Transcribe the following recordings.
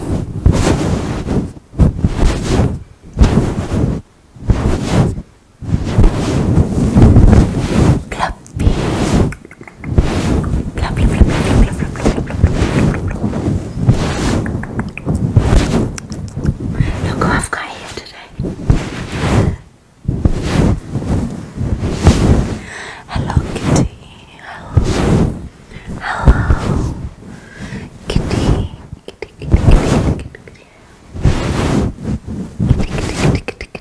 Clappy. Clap, clap, clap, clap, clap, clap, clap, clap. Look who I've got here today. Hello, Kitty. Hello. Hello, kitty. Kitty, kitty, kitty, kitty, kitty, kitty, kitty, kitty, kitty.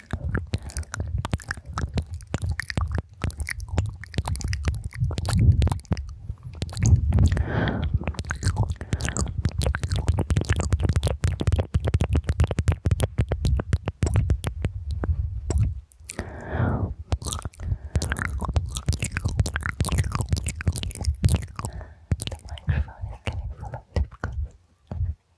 The microphone is getting full of difficult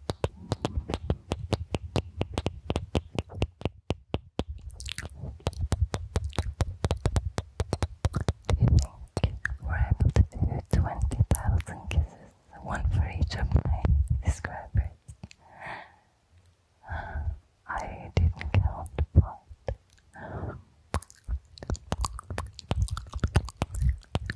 Do you think we're able to do 20,000 kisses, one for each of my subscribers? I didn't count, but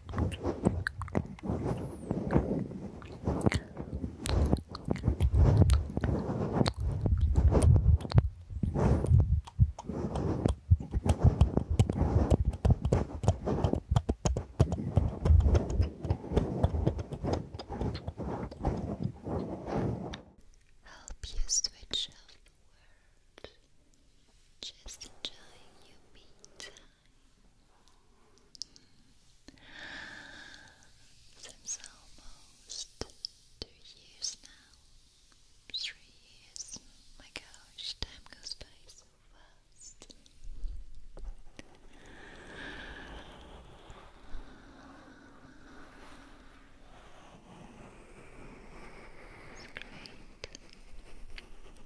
Help you switch off Just enjoying your me since almost two years now, three years. My gosh, time goes by so fast. It's great.